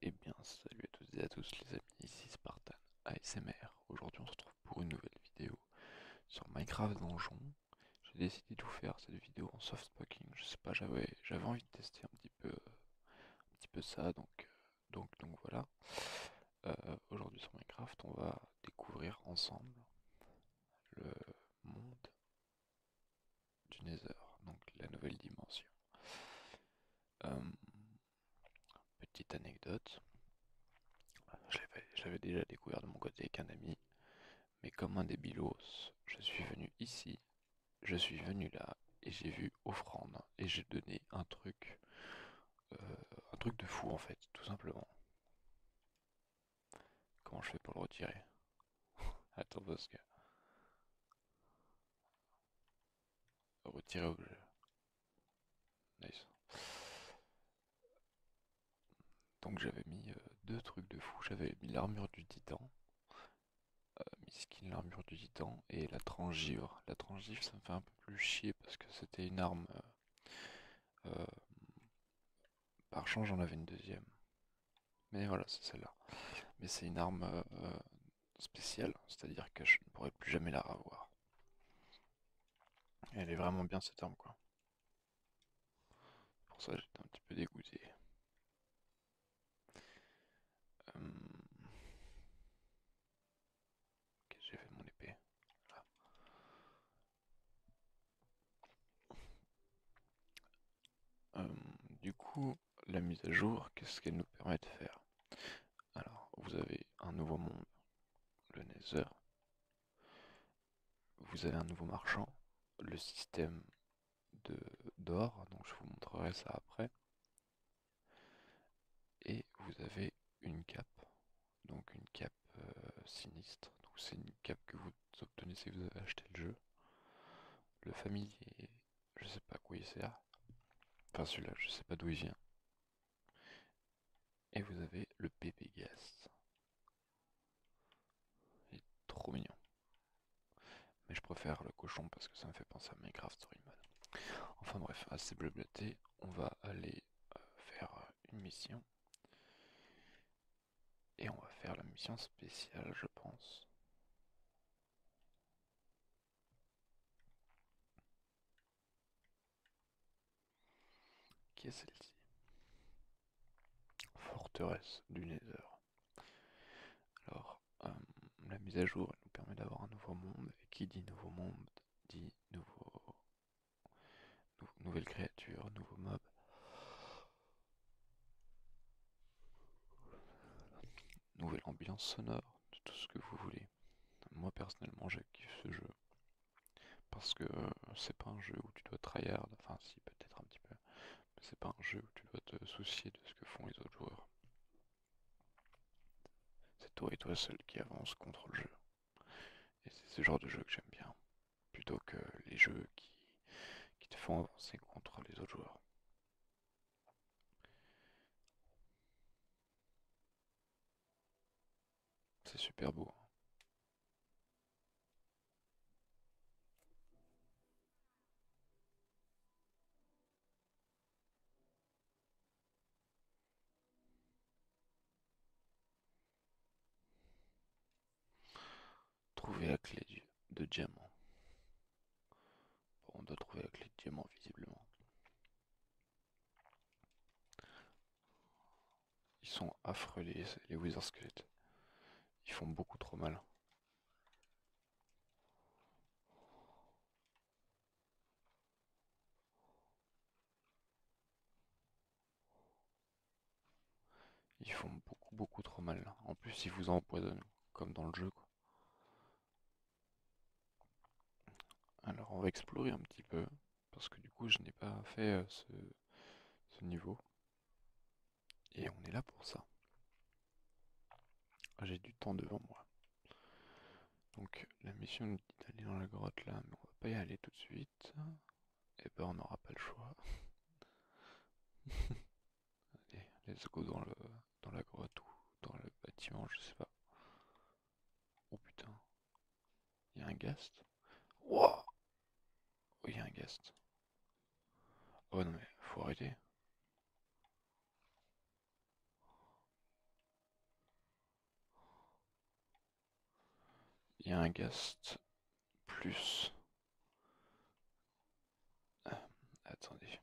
Et eh bien, salut à tous et à tous les amis, ici Spartan ASMR. Aujourd'hui, on se retrouve pour une nouvelle vidéo sur Minecraft Donjon. J'ai décidé de vous faire cette vidéo en soft Je sais pas, j'avais envie de tester un petit peu ça, euh, donc donc voilà. Euh, aujourd'hui sur Minecraft, on va découvrir ensemble le monde du Nether, donc la nouvelle dimension. Hum, petite anecdote, j'avais déjà découvert de mon côté avec un ami, mais comme un débilos, je suis venu ici, je suis venu là, et j'ai vu offrande, et j'ai donné un truc, euh, un truc de fou en fait, tout simplement. Comment je fais pour le retirer Attends parce que... Retirer objet. Nice. Donc j'avais mis euh, deux trucs de fou. J'avais mis l'armure du titan. Euh, Miskin, l'armure du titan. Et la transgivre. La transgivre, ça me fait un peu plus chier parce que c'était une arme. Euh, euh, par chance, j'en avais une deuxième. Mais voilà, c'est celle-là. Mais c'est une arme spéciale, hein. c'est-à-dire que je ne pourrai plus jamais la revoir. Elle est vraiment bien cette arme quoi. Pour ça j'étais un petit peu dégoûté. Hum. J'ai fait mon épée. Hum, du coup, la mise à jour, qu'est-ce qu'elle nous permet de faire Alors, vous avez un nouveau monde, le Nether. Vous avez un nouveau marchand, le système de d'or, donc je vous montrerai ça après. Et vous avez une cape, donc une cape euh, sinistre. Donc c'est une cape que vous obtenez si vous avez acheté le jeu. Le familier je sais pas quoi il sert. Enfin celui-là, je sais pas d'où il vient. Et vous avez le PP guest Il est trop mignon. Mais je préfère le cochon parce que ça me fait penser à Minecraft Story Mode. Enfin bref, assez blablaté, on va aller euh, faire une mission. Et on va faire la mission spéciale, je pense. Qui est celle-ci Forteresse du Nether. Alors, euh, la mise à jour elle nous permet d'avoir un nouveau monde, et qui dit nouveau monde dit nouveau... nouvelle créature, nouveau mob nouvelle ambiance sonore, de tout ce que vous voulez. Moi personnellement j'active ce jeu parce que euh, c'est pas un jeu où tu dois tryhard, enfin si peut-être un petit peu, mais c'est pas un jeu où tu dois te soucier de ce que font les autres joueurs. C'est toi et toi seul qui avance contre le jeu. Et c'est ce genre de jeu que j'aime bien, plutôt que les jeux qui te font avancer contre les autres joueurs. C'est super beau. Trouver la clé de diamant on doit trouver la clé de diamant visiblement. Ils sont affreux les, wizards Wizard Squelettes. Ils font beaucoup trop mal. Ils font beaucoup beaucoup trop mal. En plus ils vous empoisonnent, comme dans le jeu alors on va explorer un petit peu, parce que du coup je n'ai pas fait euh, ce, niveau. Et on est là pour ça. J'ai du temps devant moi. Donc la mission d'aller dans la grotte là, mais on va pas y aller tout de suite. Et eh ben on n'aura pas le choix. Allez, let's go dans le dans la grotte ou dans le bâtiment, je sais pas. Oh putain. Il y a un guest Oh, il y a un guest Oh non, mais faut arrêter. Il y a un guest plus ah, attendez.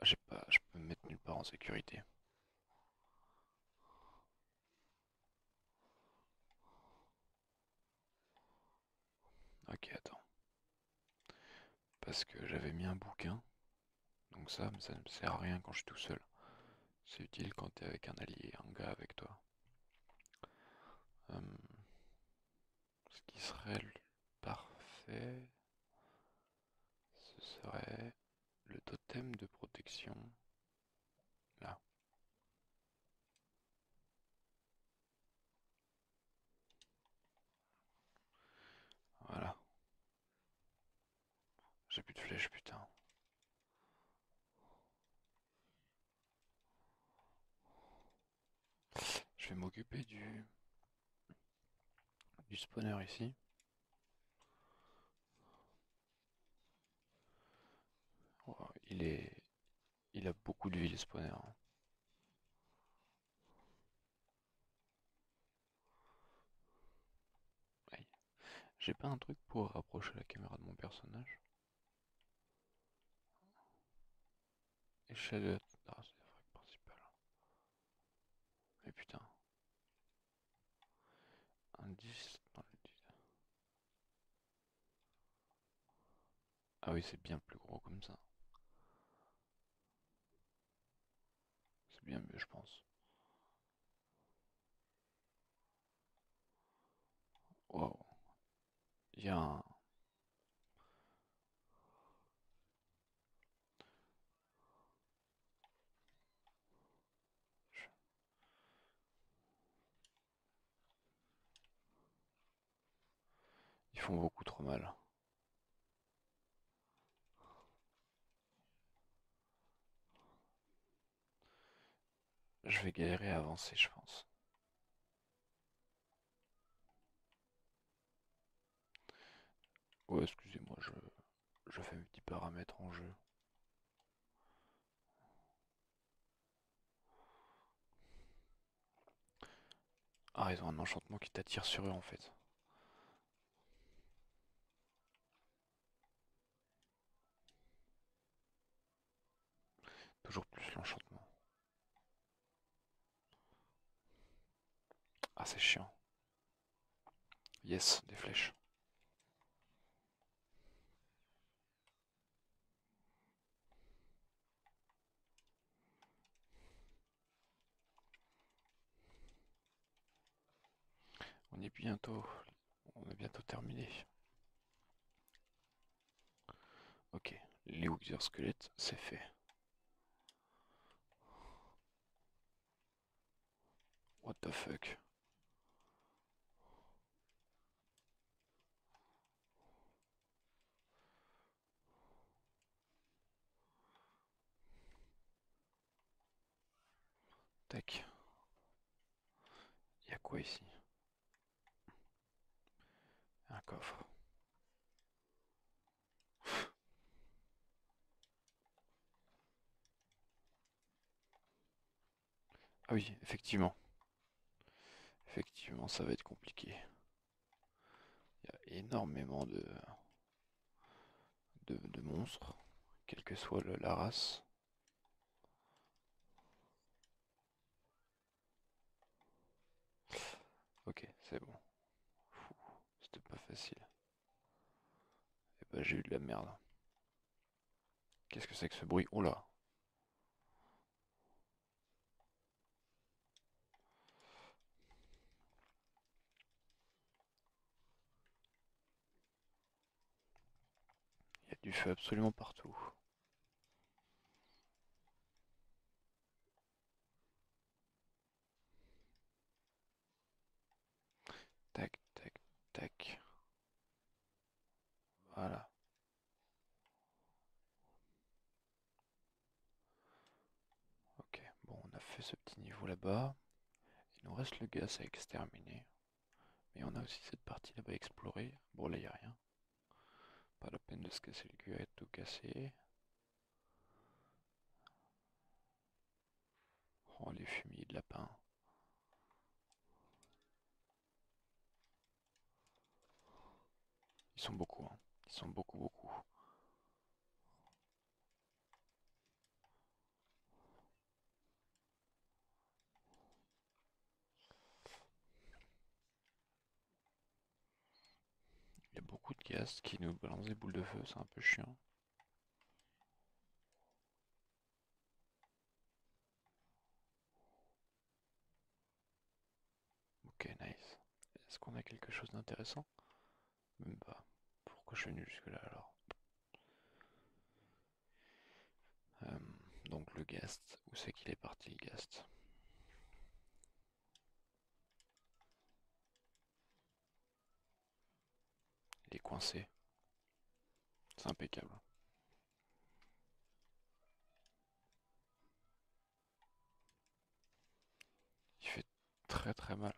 Ah, j'ai pas. Je peux me mettre nulle part en sécurité. Ok, attends. Parce que j'avais mis un bouquin. Donc ça, ça ne me sert à rien quand je suis tout seul. C'est utile quand t'es avec un allié, un gars avec toi. Hum. Ce qui serait le parfait, ce serait le totem de protection. Là. Voilà. J'ai plus de flèches, putain. Je vais m'occuper du du spawner ici. Oh, il est il a beaucoup de vie le spawner. J'ai pas un truc pour rapprocher la caméra de mon personnage. Et de euh, ah, c'est la frappe principale. Mais eh, putain. Indice dans l'étude. Ah oui, c'est bien plus gros comme ça. C'est bien mieux, je pense. Wow. Il y a un... Ils font beaucoup trop mal. Je vais galérer à avancer, je pense. Ouais, excusez-moi, je, je fais mes petits paramètres en jeu. Ah, ils ont un enchantement qui t'attire sur eux en fait. Toujours plus l'enchantement. Ah, c'est chiant. Yes, des flèches. On est bientôt, on est bientôt terminé. Ok, les Wither squelettes, c'est fait. What the fuck Tac. a quoi ici un coffre. Ah oui, effectivement. Effectivement, ça va être compliqué. Il y a énormément de, de, monstres, quelle que soit la race. Ok, c'est bon. C'était pas facile. Et eh bah ben, j'ai eu de la merde. Qu'est-ce que c'est que ce bruit Oh là Il y a du feu absolument partout. Tac, tac, tac. Voilà. Ok, bon, on a fait ce petit niveau là-bas. Il nous reste le gaz à exterminer. Mais on a aussi cette partie là-bas explorer, Bon, là, il n'y a rien. Pas la peine de se casser le cul et tout casser Oh les fumiers de lapin. Ils sont beaucoup, hein. Ils sont beaucoup, beaucoup. Il y a beaucoup de guests qui nous balancent des boules de feu, c'est un peu chiant. Ok, nice. Est-ce qu'on a quelque chose d'intéressant Même pas. Pourquoi je suis venu jusque-là alors euh, Donc le guest, où c'est qu'il est parti le gast il est coincé. C'est impeccable. Il fait très très mal.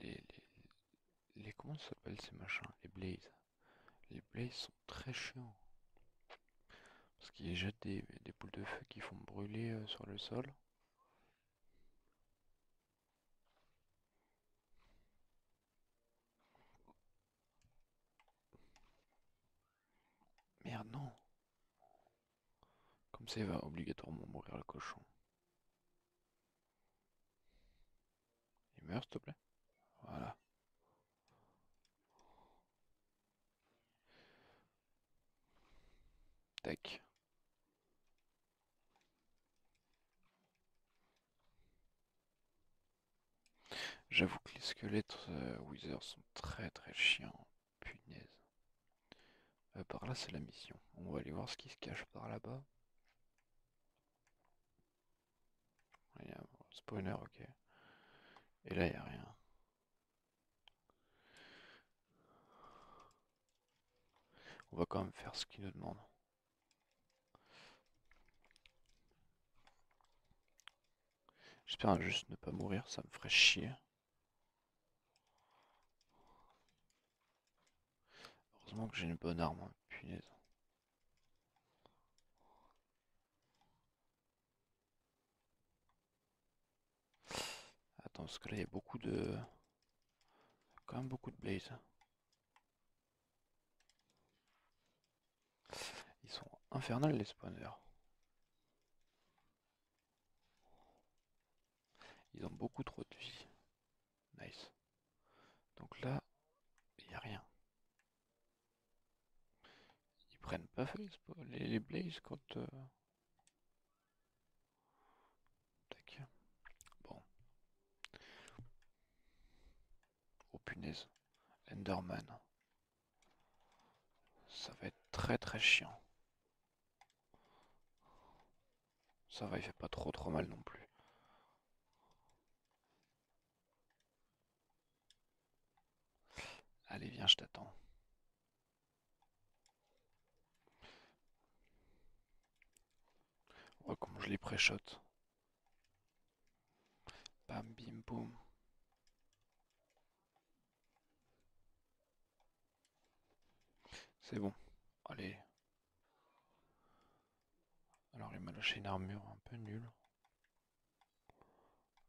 les, les comment s'appellent ces machins Les blazes. Les blazes sont très chiants. Parce qu'ils jettent des, des boules de feu qui font brûler euh, sur le sol. Merde, non Comme ça, il va obligatoirement mourir le cochon. Il meurt, s'il te plaît. Voilà. Tac. J'avoue que les squelettes euh, Wizard sont très très chiants. Punaise. Euh, par là, c'est la mission. On va aller voir ce qui se cache par là-bas. Spoiler ok. Et là, il a rien. On va quand même faire ce qu'il nous demande. J'espère juste ne pas mourir, ça me ferait chier. Heureusement que j'ai une bonne arme, hein, punaise. Attends, parce que là, il y a beaucoup de... Quand même beaucoup de blaze. Ils sont infernales, les spawners. Ils ont beaucoup trop de vie. Nice. Donc là, il n'y a rien. Ils prennent pas les, les Blaze quand... Euh, tac. Bon. Oh punaise. Enderman. Ça va être très très chiant. Ça va, il fait pas trop trop mal non plus. Allez, viens, je t'attends. Oh, comme je les pré Bam, bim, boum. C'est bon. Allez, alors il m'a lâché une armure un peu nulle.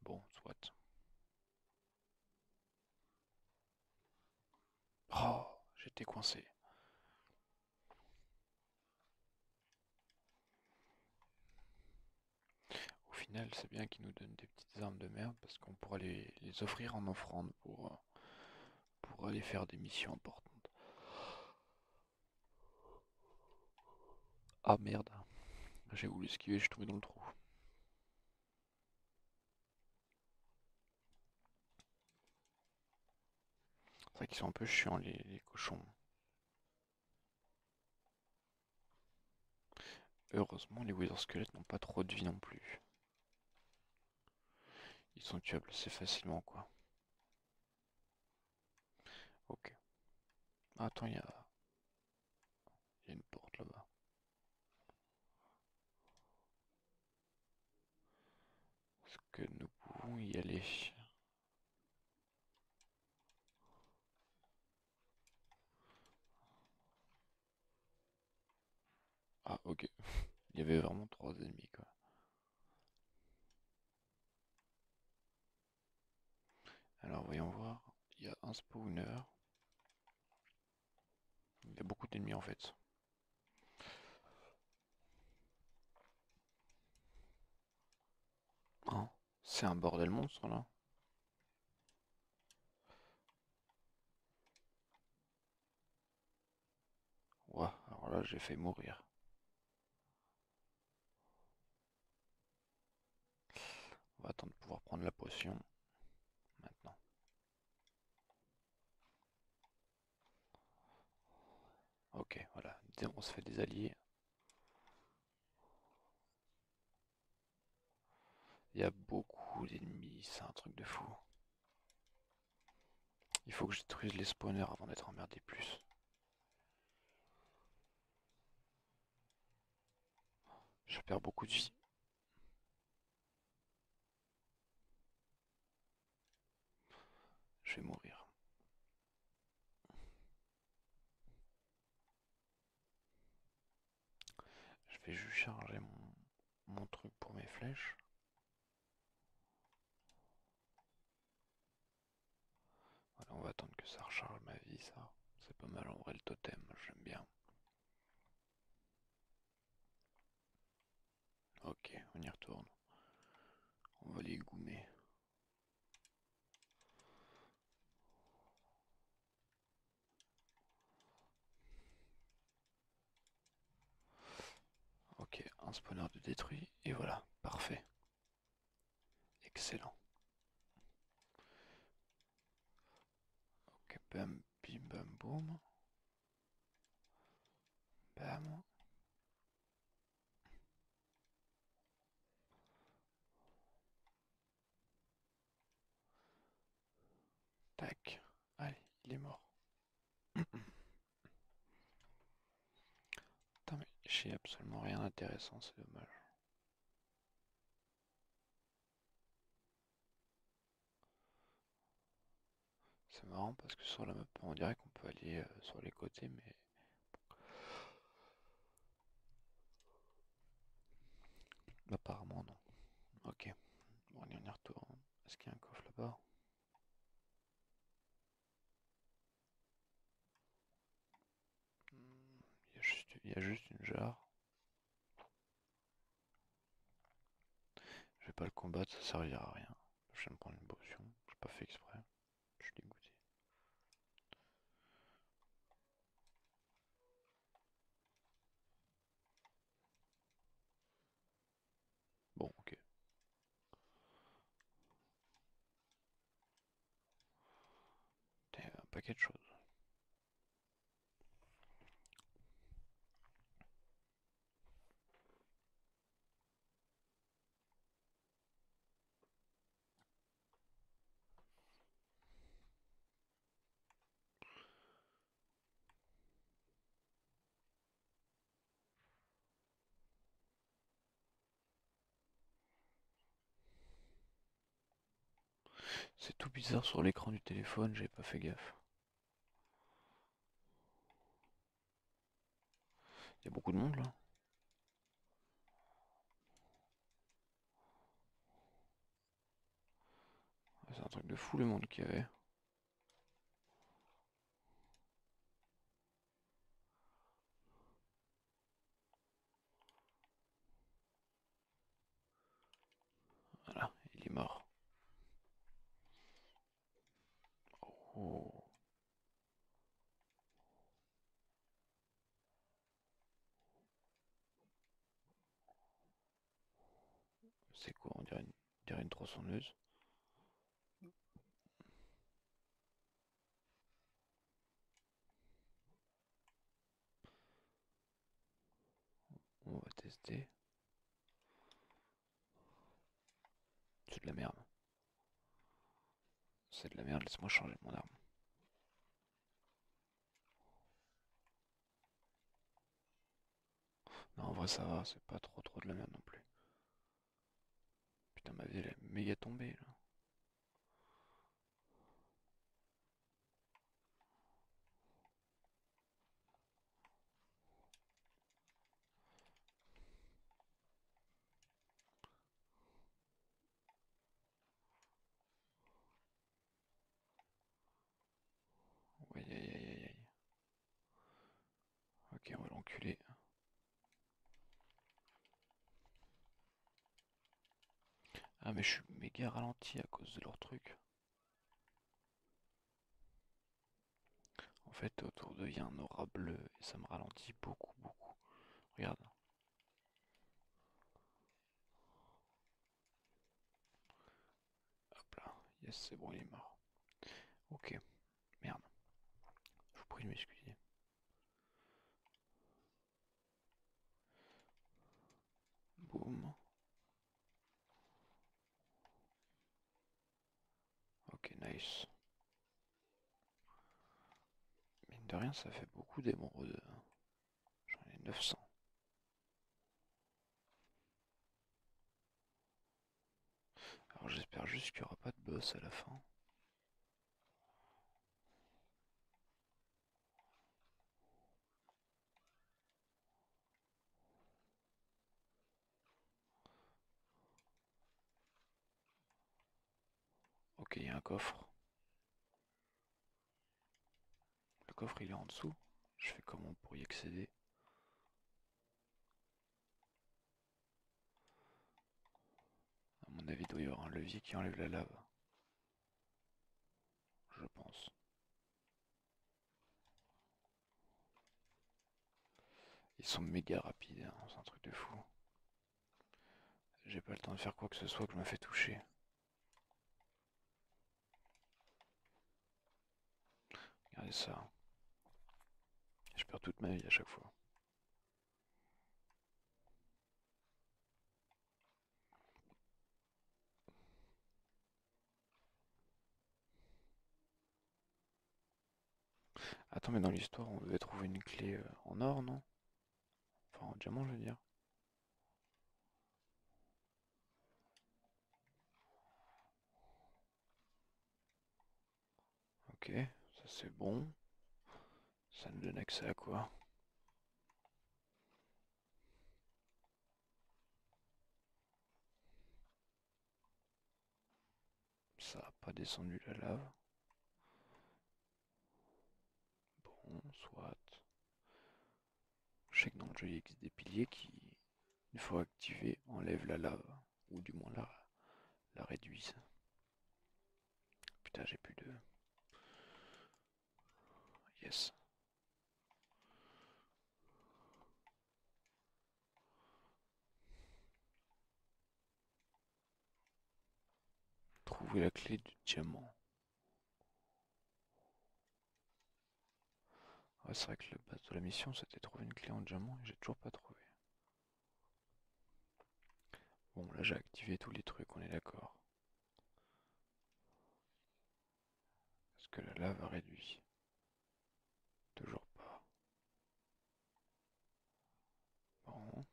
Bon, soit. Oh, j'étais coincé. Au final, c'est bien qu'ils nous donnent des petites armes de merde parce qu'on pourra les, offrir en offrande euh, pour aller faire des missions importantes. Ah merde. J'ai voulu esquiver, je suis tombé dans le trou. C'est vrai qu'ils sont un peu chiants les, cochons. Heureusement, les Wither squelettes n'ont pas trop de vie non plus. Ils sont tuables assez facilement, quoi. Ok. Attends, il y a... une porte là-bas. Est-ce que nous pouvons y aller Ah ok, il y avait vraiment trois ennemis quoi. Alors voyons voir, il y a un spawner. Il y a beaucoup d'ennemis en fait. Oh, c'est un bordel monstre là. Ouah, alors là j'ai fait mourir. On va attendre de pouvoir prendre la potion maintenant. Ok, voilà, on se fait des alliés. Il y a beaucoup d'ennemis, c'est un truc de fou. Il faut que je détruise les spawners avant d'être emmerdé plus. Je perds beaucoup de vie. Je vais mourir. Je vais juste charger mon, mon truc pour mes flèches on va attendre que ça recharge ma vie, ça. C'est pas mal en vrai le totem, j'aime bien. Ok, on y retourne. On va les goumer. Ok, un spawner de détruit, et voilà, parfait. Excellent. Ok, bam, bim, bam, boum. Bam. Tac. Allez, il est mort j'ai absolument rien d'intéressant, c'est dommage. C'est marrant parce que sur la map on dirait qu'on peut aller euh, sur les côtés mais... Apparemment non. Ok. on y retourne. Est-ce qu'il y a un coffre là-bas Hmm, il y, a juste, une jarre. Je vais pas le combattre, ça servira à rien. Je vais me prendre une potion, j'ai pas fait exprès. Je suis dégoûté. Bon, ok. un paquet de choses. C'est tout bizarre sur l'écran du téléphone, j'ai pas fait gaffe. Il y a beaucoup de monde là. C'est un truc de fou le monde qu'il y avait. Voilà, il est mort. Oh. C'est quoi On dirait une, on dirait une tronçonneuse. On va tester. C'est de la merde. C'est de la merde, laisse-moi changer mon arme. Non, en vrai ça va, c'est pas trop trop de la merde non plus. Putain, ma vie, elle est méga tombée là. Aïe aïe aïe aïe ouais. Ok, on va l'enculer. Ah mais je suis méga ralenti à cause de leur truc. En fait autour d'eux il y a un aura bleu et ça me ralentit beaucoup beaucoup. Regarde. Hop là, yes c'est bon il est mort. Ok, Merde. Je vous prie de m'excuser. Boum. Ok, nice. Mine de rien, ça fait beaucoup d'émeraudes. J'en ai 900. Alors j'espère juste qu'il n'y aura pas de boss à la fin. Ok, il y a un coffre. Le coffre il est en dessous. Je fais comment pour y accéder a mon avis, il doit y avoir un levier qui enlève la lave. Je pense. Ils sont méga rapides, hein. c'est un truc de fou. J'ai pas le temps de faire quoi que ce soit que je me fais toucher. Regardez ça. Je perds toute ma vie à chaque fois. Attends, mais dans l'histoire, on devait trouver une clé euh, en or, non Enfin, en diamant, je veux dire. Ok, ça c'est bon. Ça nous donne accès à quoi Ça n'a pas descendu la lave. Bon, soit. Je sais que dans le jeu il existe des piliers qui une fois activé, enlève la lave, ou du moins la, la réduise. Putain, j'ai plus de... Yes. Trouver la clé du diamant. c'est vrai que le base de la mission c'était trouver une clé en diamant et j'ai toujours pas trouvé. Bon, là j'ai activé tous les trucs, on est d'accord. Est-ce que la lave a réduit Toujours pas. Bon.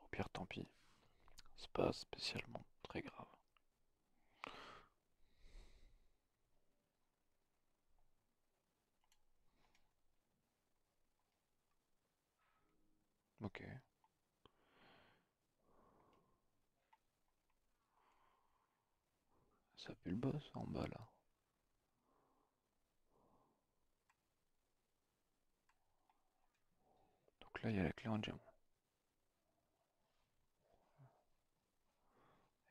Au pire, tant pis. C'est pas spécialement très grave. Ok. Ça pue le boss en bas là. Donc là il y a la clé en diamant.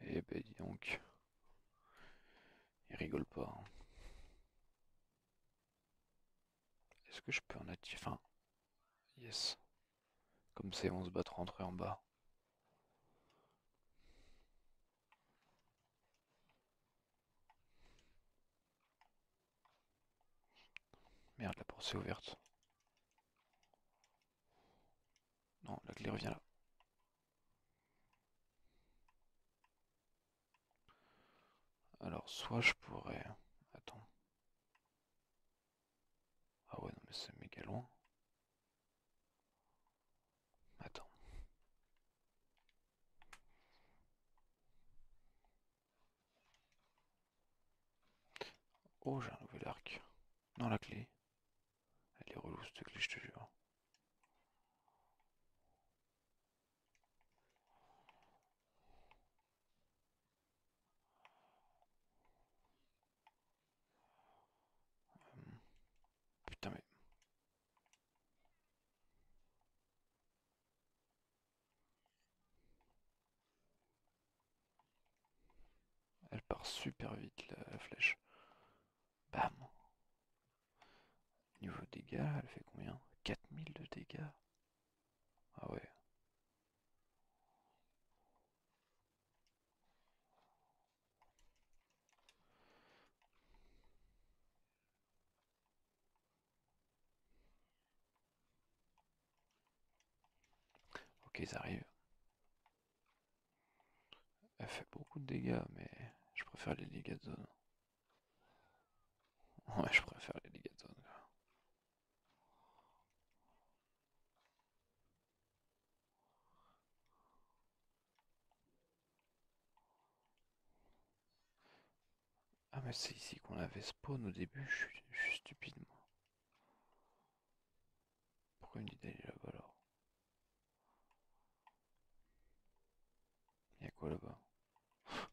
Eh ben dis donc. Il rigole pas. Hein. Est-ce que je peux en attirer un yes. Comme c'est, on se battra entre en bas. Merde, la porte s'est ouverte. Non, la clé revient là. Alors, soit je pourrais... Attends. Ah ouais, non, mais c'est méga loin. Attends. Oh, j'ai un nouvel arc. Non, la clé. Elle est relou cette clé, je te jure. Hum. Putain, mais. Elle part super vite la, flèche. Bam Niveau dégâts, elle fait combien 4000 de dégâts Ah ouais. Ok, ils arrivent. Elle fait beaucoup de dégâts, mais je préfère les dégâts Ouais, je préfère les dégâts Ah mais c'est ici qu'on avait spawn au début, je suis, je stupide pourquoi une idée là-bas alors a quoi là-bas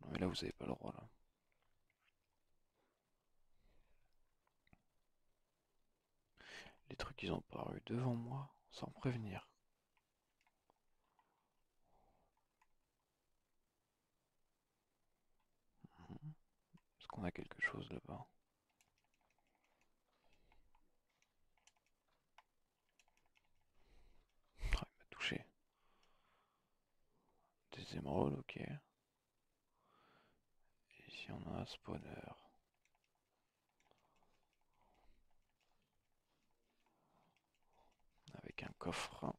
Non mais là vous avez pas le droit là. Les trucs ils ont paru devant moi sans prévenir. Mhm. Est-ce qu'on a quelque chose là-bas ah, Il m'a touché. Des émeraudes, ok. Et ici on a un spawner. Avec un coffre.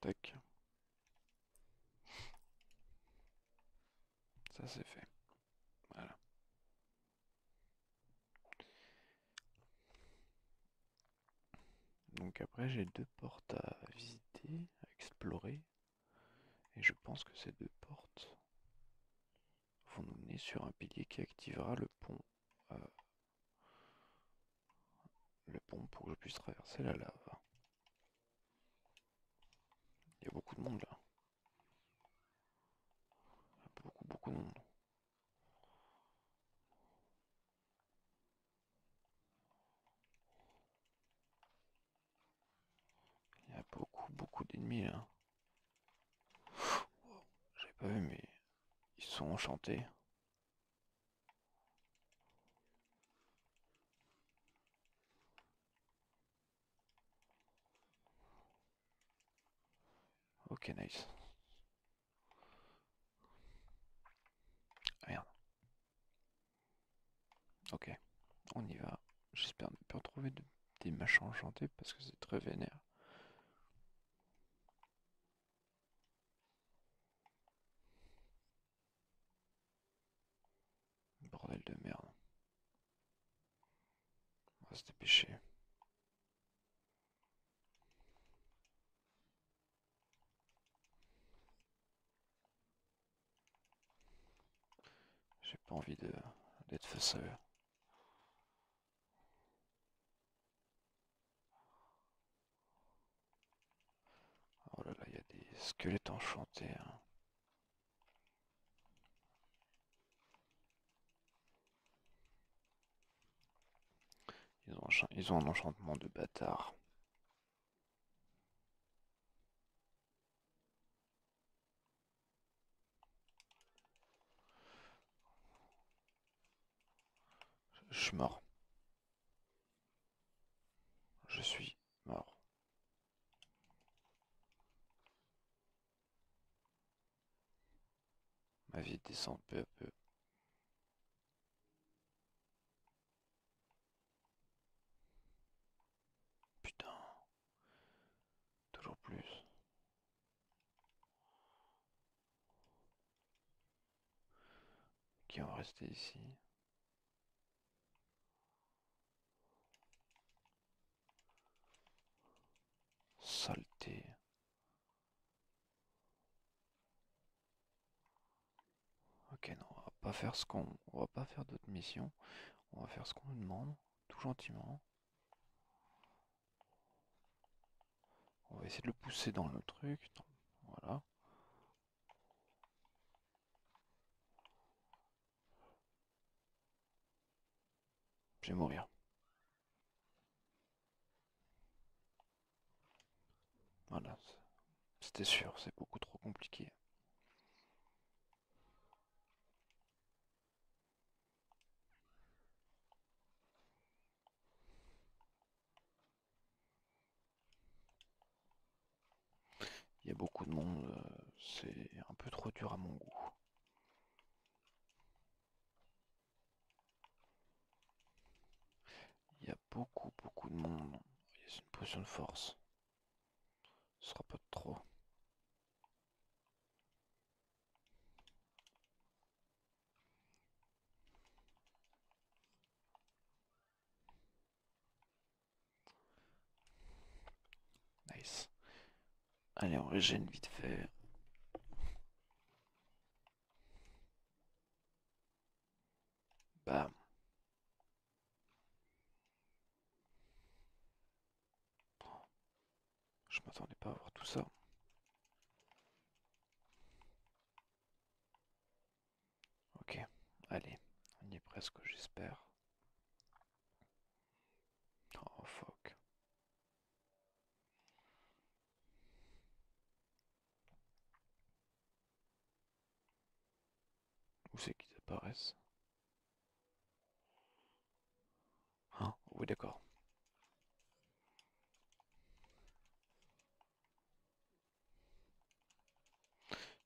Tac. Ça c'est fait. Voilà. Donc après j'ai deux portes à visiter, à explorer. Et je pense que ces deux portes vous nous mener sur un pilier qui activera le pont. Euh, le pont pour que je puisse traverser la lave. Il y a beaucoup de monde là. beaucoup, beaucoup de monde. Il y a beaucoup, beaucoup d'ennemis là. Je J'avais pas vu, mais ils sont enchantés. Ok, nice. Ah, ok, on y va. J'espère ne plus trouver des machins enchantés parce que c'est très vénère. Bordel de merde. On va se dépêcher. J'ai pas envie d'être face Oh là là, il y a des squelettes enchantés. Hein. ils ont un enchantement de bâtard. Je suis mort. Je suis mort. Ma vie descend peu à peu. Putain. Toujours plus qui ont rester ici. Saleté. Ok, non, on va pas faire ce qu'on... On va pas faire d'autres missions. On va faire ce qu'on nous demande, tout gentiment. On va essayer de le pousser dans le truc. Voilà. Je vais mourir. Voilà. C'était sûr, c'est beaucoup trop compliqué. Il y a beaucoup de monde, euh, c'est un peu trop dur à mon goût. Il y a beaucoup beaucoup de monde. Il y a une potion de force. Ce sera pas trop. Nice. Allez, on régène vite fait. Bam. Je m'attendais pas à voir tout ça. Ok, allez, on y est presque, j'espère. Oh fuck. Où c'est qu'ils apparaissent Hein, oui, d'accord.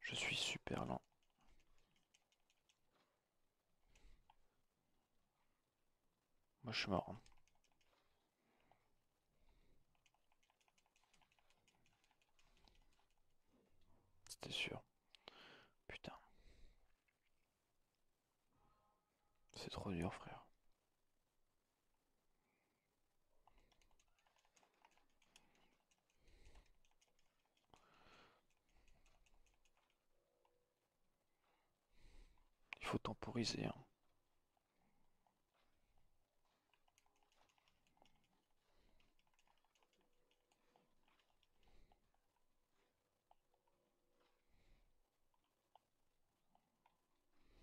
Je suis super lent. Moi, je suis mort. Hein. C'était sûr. Putain. C'est trop dur, frère. Il faut temporiser. Hein.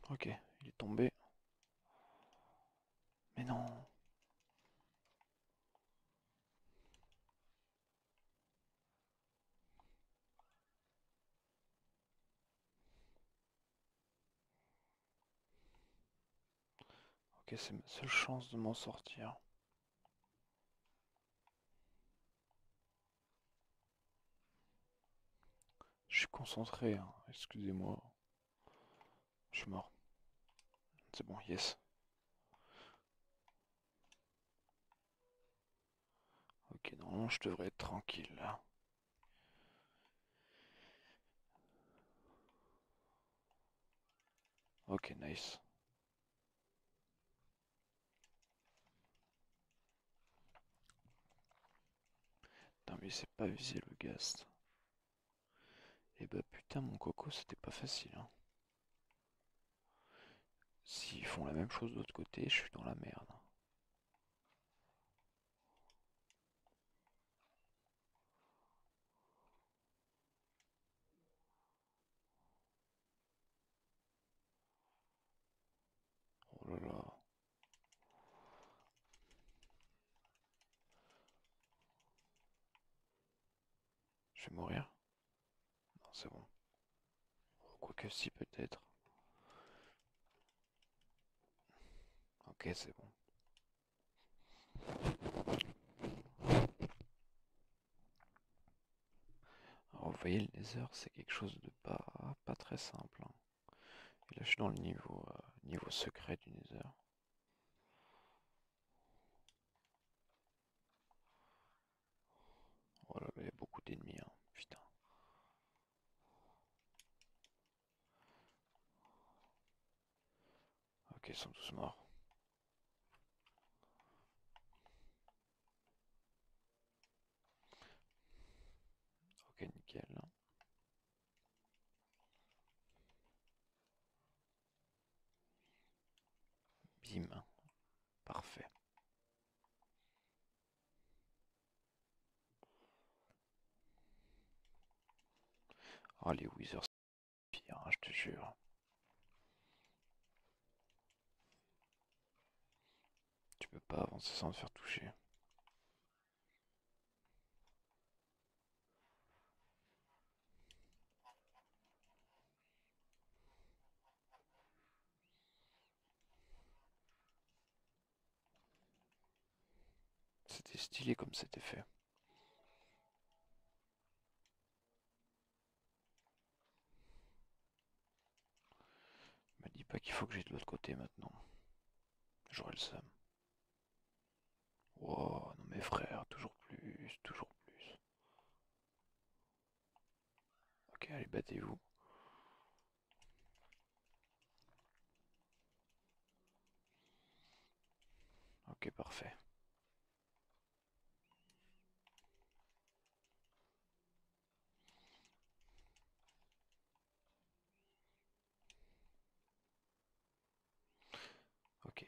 Ok, il est tombé. Mais non. Ok, c'est ma seule chance de m'en sortir. Je suis concentré, hein. excusez-moi. Je suis mort. C'est bon, yes. Ok, non je devrais être tranquille là. Ok, nice. Non mais c'est pas usé le gast. Et eh bah ben, putain mon coco c'était pas facile hein. S'ils font la même chose de l'autre côté, je suis dans la merde. Oh là là. Je vais mourir. Non, c'est bon. Oh, quoique si, peut-être. Ok, c'est bon vous voyez, le nether, c'est quelque chose de pas, pas très simple. Hein. là, je suis dans le niveau, euh, niveau secret du nether. Oh là il y a beaucoup d'ennemis, hein. putain. Ok, ils sont tous morts. Ok, nickel. Bim. Parfait. allez oh, les Wizards, pire, hein, je te jure. Tu peux pas avancer sans te faire toucher. C'était stylé comme c'était fait. Me dis pas qu'il faut que j'aie de l'autre côté maintenant. J'aurai le seum. Oh, non mes frères, toujours plus, toujours plus. Ok, allez, battez-vous. Ok, parfait. Ok.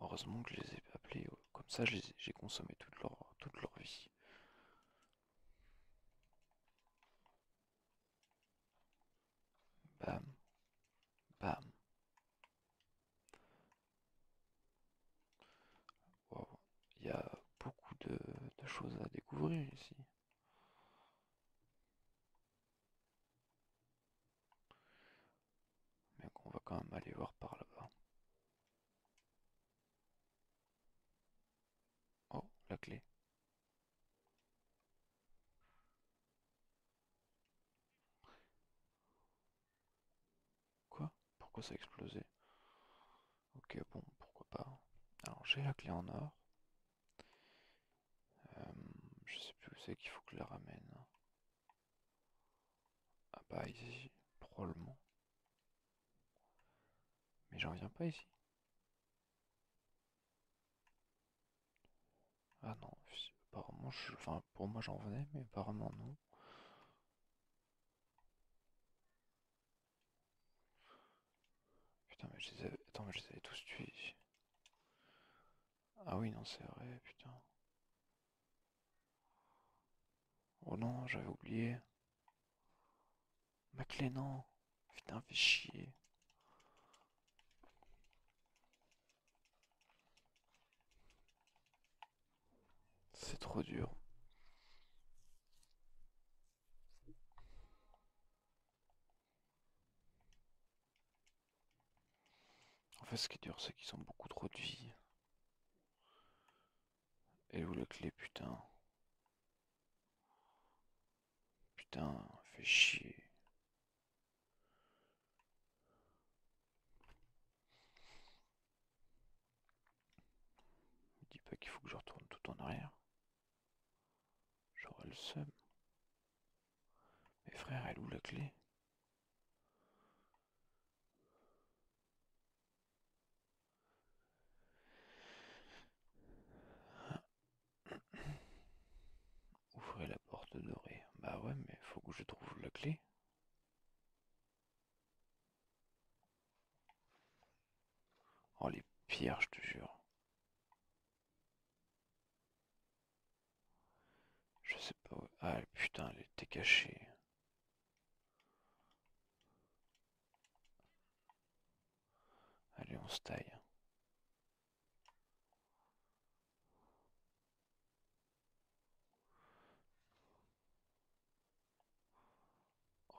Heureusement que je les ai appelés, comme ça j'ai consommé toute leur, toute leur vie. Bam. Bam. Il y a beaucoup de, choses à découvrir ici. Mais on va quand même aller voir par là-bas. Oh, la clé. Quoi Pourquoi ça a explosé Ok, bon, pourquoi pas. Alors j'ai la clé en or. Euh, je sais plus où c'est qu'il faut que je la ramène. Ah bah ici, probablement. Mais j'en viens pas ici. Ah non, apparemment, je... enfin, pour moi j'en venais, mais apparemment non. Putain, mais je les avais... mais je tous tués. Ah oui, non, c'est vrai, putain. Oh non, j'avais oublié. Ma non. Putain, fais chier. C'est trop dur. En fait, ce qui est dur, c'est qu'ils ont beaucoup trop de vie. Et où la clé, putain Putain, fait chier. Me dis pas qu'il faut que je retourne tout en arrière. J'aurai le seum. mes frères elle où la clé Ouvrez la porte dorée. Bah ouais, mais faut que je trouve la clé. Oh les pierres, je te jure. Je sais pas où. Ah putain, elle était cachée. Allez, on se taille.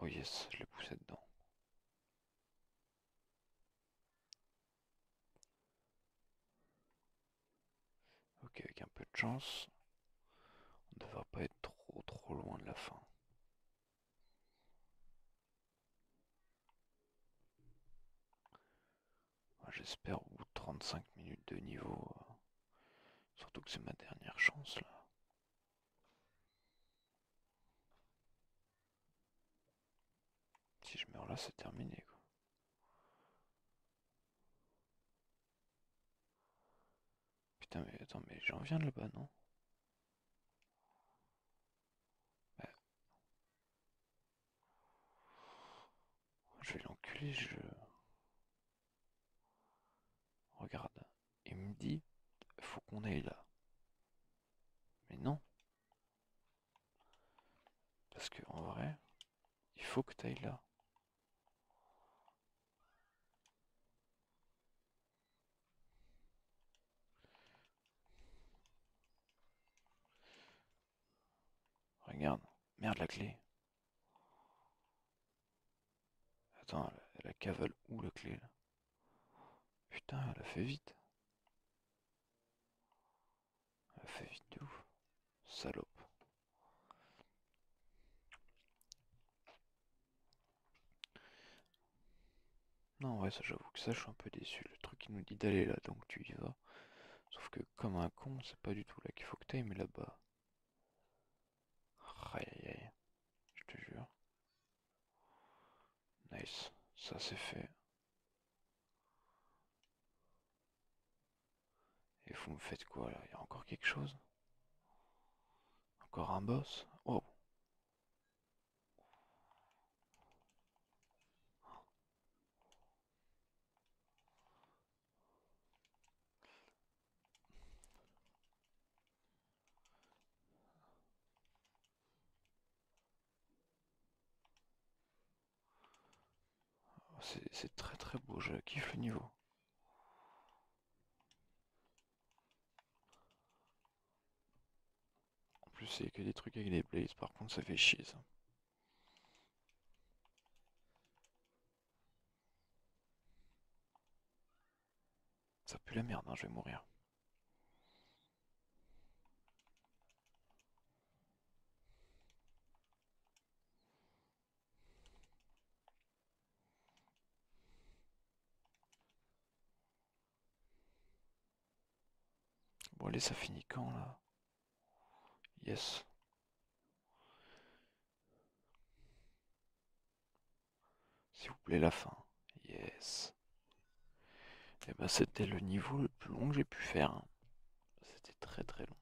Oh yes, je l'ai poussé dedans. Ok, avec un peu de chance, on ne va pas être trop trop loin de la fin. J'espère au bout 35 minutes de niveau. Euh, surtout que c'est ma dernière chance là. Si je meurs là, c'est terminé quoi. Putain mais attends mais j'en viens de là-bas non je vais l'enculer, je... Regarde. Il me dit, faut qu'on aille là. Mais non. Parce que en vrai, il faut que tu ailles là. Regarde. Merde, la clé. Attends, elle, a cavale ou la clé là Putain, elle a fait vite. Elle a fait vite de ouf. Salope. Non, ouais, ça j'avoue que ça, je suis un peu déçu. Le truc, il nous dit d'aller là, donc tu y vas. Sauf que, comme un con, c'est pas du tout là qu'il faut que t'aimes mais là-bas. Aïe aïe aïe. Je te jure. Nice. Ça, c'est fait. Et vous me faites quoi là Il y a encore quelque chose Encore un boss oh c'est très très beau, je kiffe le niveau. En plus, c'est que des trucs avec des blazes, par contre, ça fait chier ça. Ça pue la merde, hein, je vais mourir. Bon allez, ça finit quand là Yes. S'il vous plaît, la fin. Yes. Et eh ben c'était le niveau le plus long que j'ai pu faire. Hein. C'était très très long.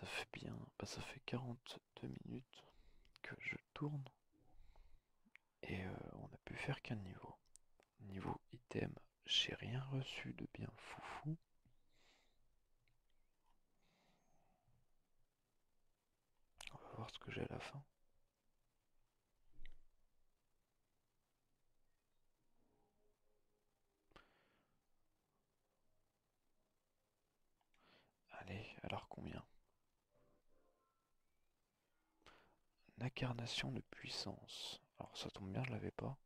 Ça fait bien, bah, ça fait 40, deux minutes que je tourne et euh, on a pu faire qu'un niveau. Niveau item, j'ai rien reçu de bien foufou. On va voir ce que j'ai à la fin. Allez, alors combien incarnation de puissance. Alors ça tombe bien, je l'avais pas.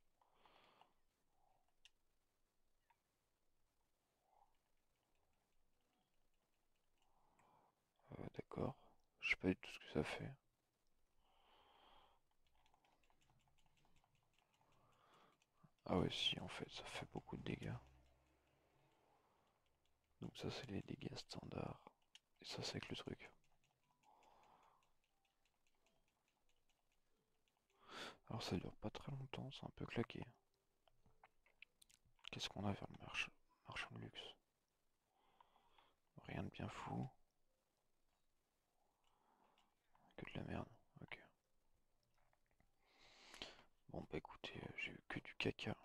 Euh, d'accord. Je sais pas du tout ce que ça fait. Ah ouais si en fait ça fait beaucoup de dégâts. Donc ça c'est les dégâts standards. Et ça c'est avec le truc. Alors ça dure pas très longtemps, c'est un peu claqué. Qu'est-ce qu'on a vers le marche marchand de luxe Rien de bien fou. Que de la merde, ok. Bon bah écoutez, euh, j'ai eu que du caca.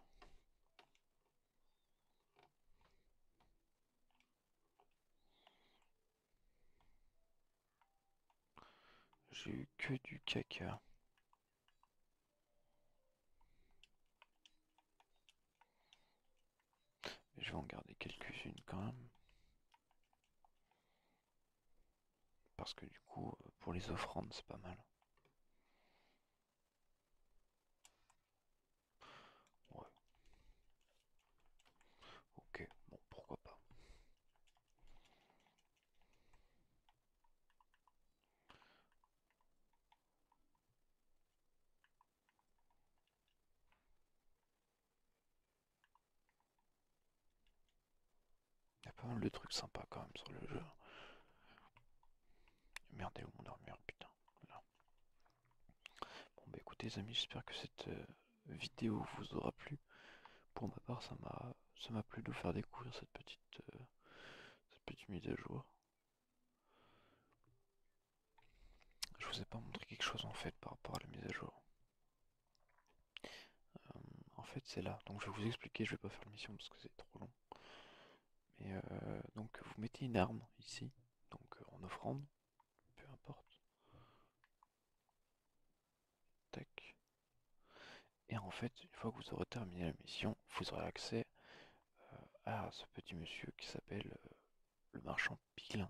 J'ai eu que du caca. je vais en garder quelques-unes quand même. Parce que du coup, euh, pour les offrandes, c'est pas mal. Ok, bon, pourquoi pas. Il y a pas mal de trucs sympas quand même sur le jeu. Merde, où mon armure oh, Putain, Bon bah écoutez les amis, j'espère que cette euh, vidéo vous aura plu. Pour ma part, ça m'a plu de vous faire découvrir cette petite euh, cette petite mise à jour. Je vous ai pas montré quelque chose en fait par rapport à la mise à jour. Euh, en fait, c'est là. Donc, je vais vous expliquer. Je vais pas faire la mission parce que c'est trop long. Mais euh, donc, vous mettez une arme ici, donc euh, en offrande, peu importe. Tac. Et en fait, une fois que vous aurez terminé la mission, vous aurez accès à ce petit monsieur qui s'appelle le marchand Pilin